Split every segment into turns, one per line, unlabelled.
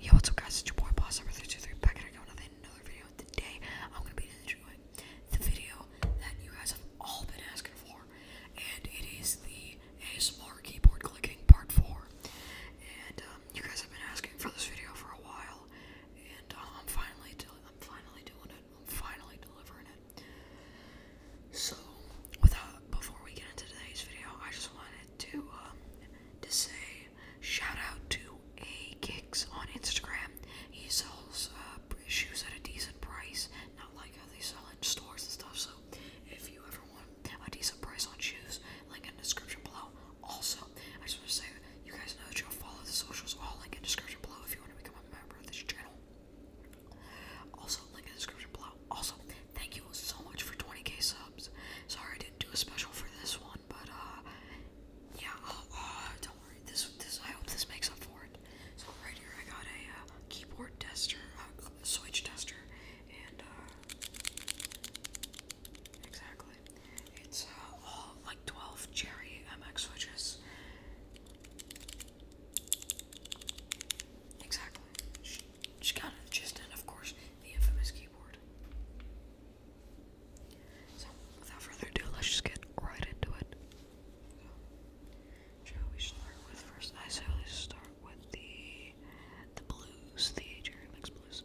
Yo, what's up guys, it's your boy Boss Number 323 back here again with another video. Today, I'm going to be doing the video that you guys have all been asking for, and it is the ASMR keyboard clicking part 4. And um, you guys have been asking for this video for a while, and um, I'm finally I'm finally doing it. I'm finally delivering it. So, without before we get into today's video, I just wanted to um, to say shout out to A Kicks on Instagram. He sells uh, shoes at a decent price, not like how they sell in stores and stuff. So if you ever want a decent price on shoes, link in the description below. Also, I just want to say you guys know that you'll follow the socials all link in description below if you want to become a member of this channel. Also, link in the description below also, thank you so much for 20k subs. Sorry I didn't do a special for this one, but uh, yeah, I'll, uh, uh, don't worry. This, this, I hope this makes up for it. So right here, I got a uh, keyboard tester, uh, switch tester, and uh, exactly, it's uh, all like 12 Cherry MX switches. Exactly. She, got it just in, of course, the infamous keyboard. So, without further ado, let's just get right into it. shall we start with first? I say let start with the the blues, the Jerry Mix blues.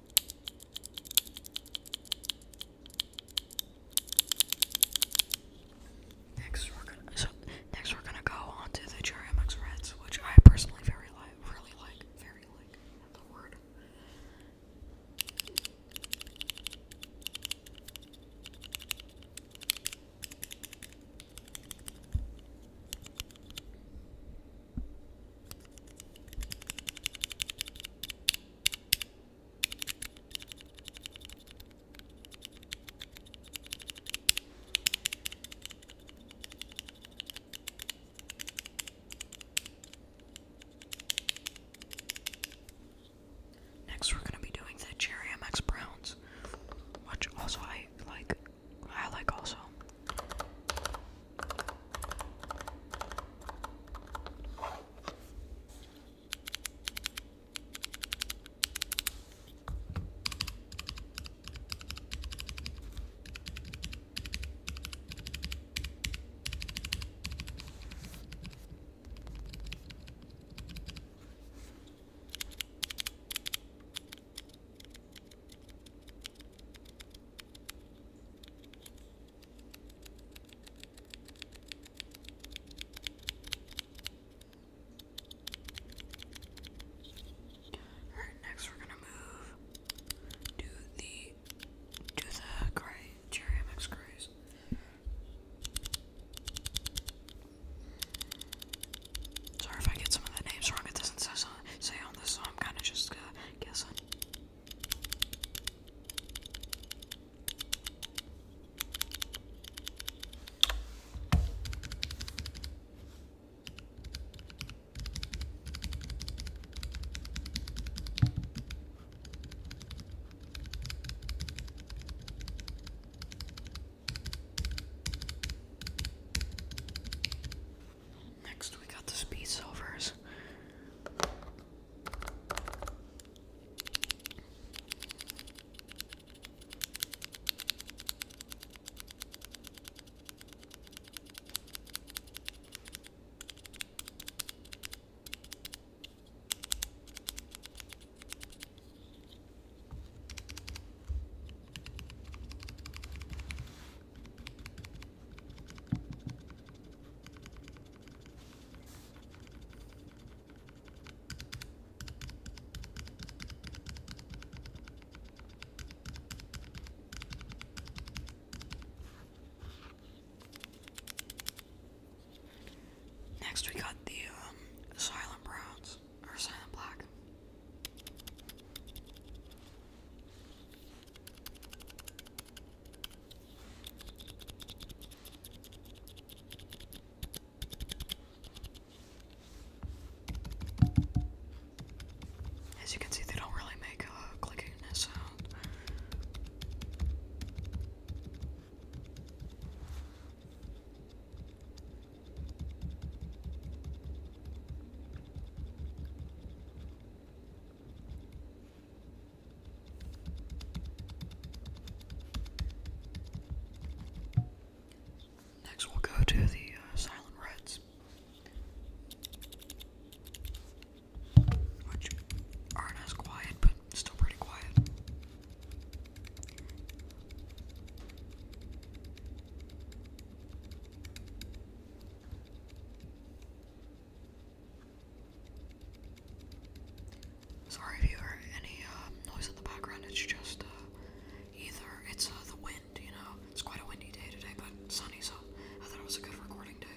Next, we're gonna go on the Cherry Reds, which I personally very like, really like, very like the word. Next, we're going to be doing the Jerry MX Browns, which also I like I like also. Alright, next we're gonna move to the to the gray cherry MX grays. Sorry if I get some of the names wrong, it doesn't say say on this, so I'm kind of just guessing. Next, we got the Speed solvers. Next, we got the um, Asylum Silent Browns. Rose or Silent Black. As you can see, they don't really make a clicking sound. Next, we'll go to the uh, Silent Reds, which aren't as quiet, but still pretty quiet. Sorry if you heard any um, noise in the background, it's just uh, either it's uh, the wind, you know, it's quite a windy day today, but sunny, so I thought it was a good recording day.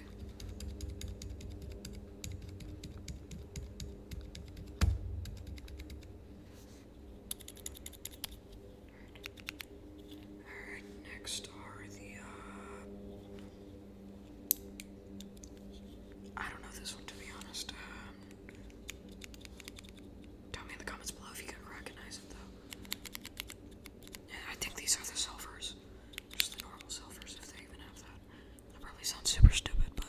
Alright, next are the, uh, I don't know this one to be honest. Uh, tell me in the comments below if you can recognize it though. Yeah, I think these are the silvers. Just the normal silvers if they even have that. That probably sounds super stupid, but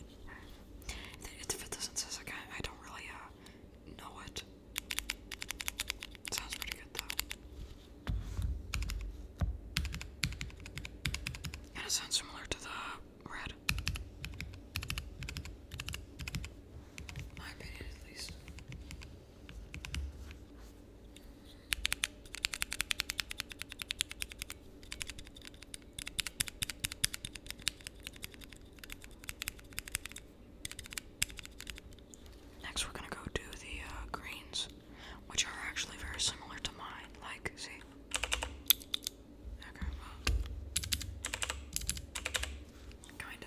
if it doesn't say like I, don't really uh, know it. Sounds pretty good though. And it sounds similar to the red. My opinion, at least. Next, we're gonna go do the uh, greens, which are actually very similar to mine. Like, see? Okay, kinda.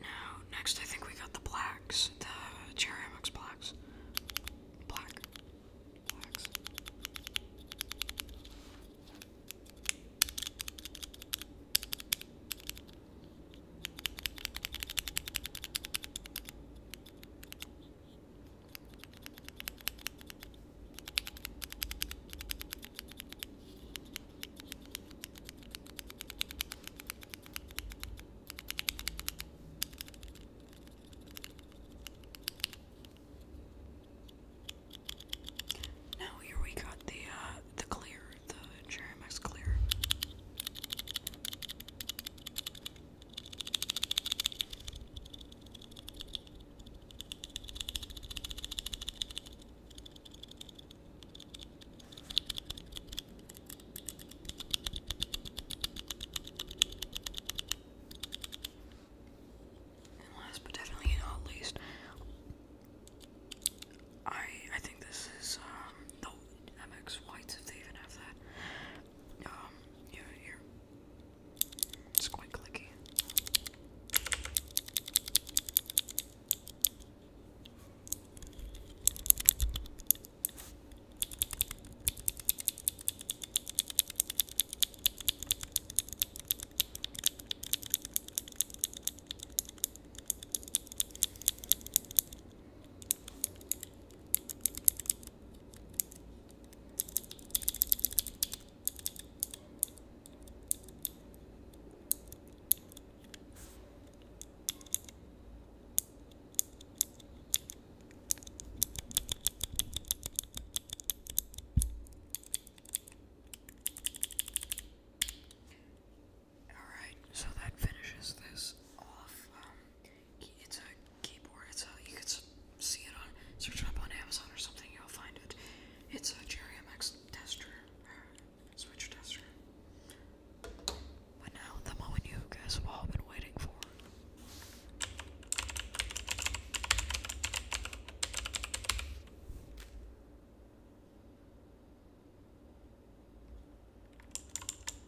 Now, next I think we got the blacks, the Cherry MX blacks. Black. Blacks. Now here we got the uh, the clear, the Cherry Mix clear. And last but definitely not least, I I think this is um, the MX Whites if they even have that. Um, yeah, here. It's quite clicky. Alright, so that finishes this off. Um, it's a keyboard. It's a uh, you can see it on search it up on Amazon or something. You'll find it. It's a Cherry MX tester, uh, switch tester. But now the moment you guys have all been waiting for.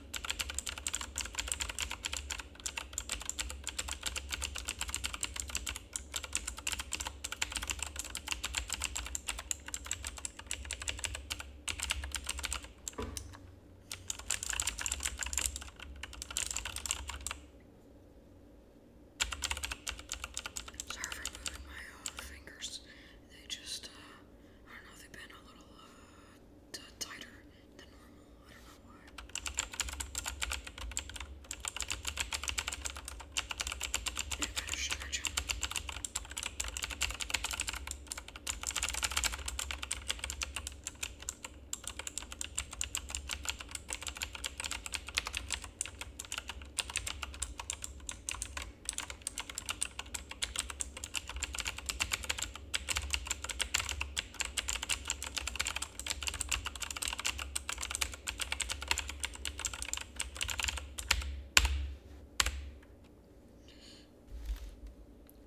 Sorry for moving my uh, fingers. They just, uh, I don't know, they've been a little, uh, tighter than normal. I don't know why. It sugar jump.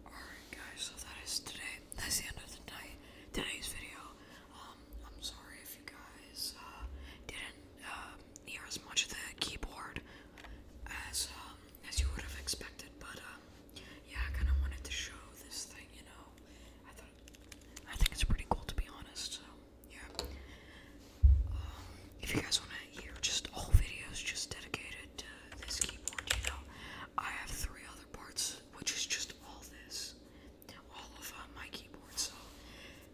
Alright guys, so that is today. That's the end of the night today's video. Um I'm sorry if you guys uh, didn't uh, hear as much of the keyboard as um, as you would have expected, but uh, yeah, I kind of wanted to show this thing, you know. I think it's pretty cool to be honest. So yeah. Um, if you guys want to hear just whole videos just dedicated to this keyboard, you know, I have three other parts, which is just all this, all of uh, my keyboard. So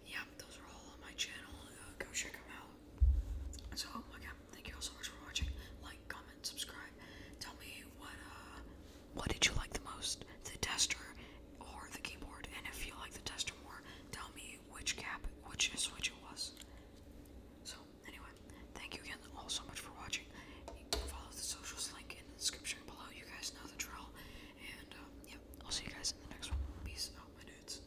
yeah, those are all on my channel. Uh, go check them out. So again, oh thank you all so much for watching. Like, comment, subscribe. Tell me what uh what did you like the most, the tester or the keyboard? And if you like the tester more, tell me which cap, which switch it was. So anyway, thank you again all so much for watching. Follow the socials link in the description below. You guys know the drill. And um, yeah, I'll see you guys in the next one. Peace out, my dudes.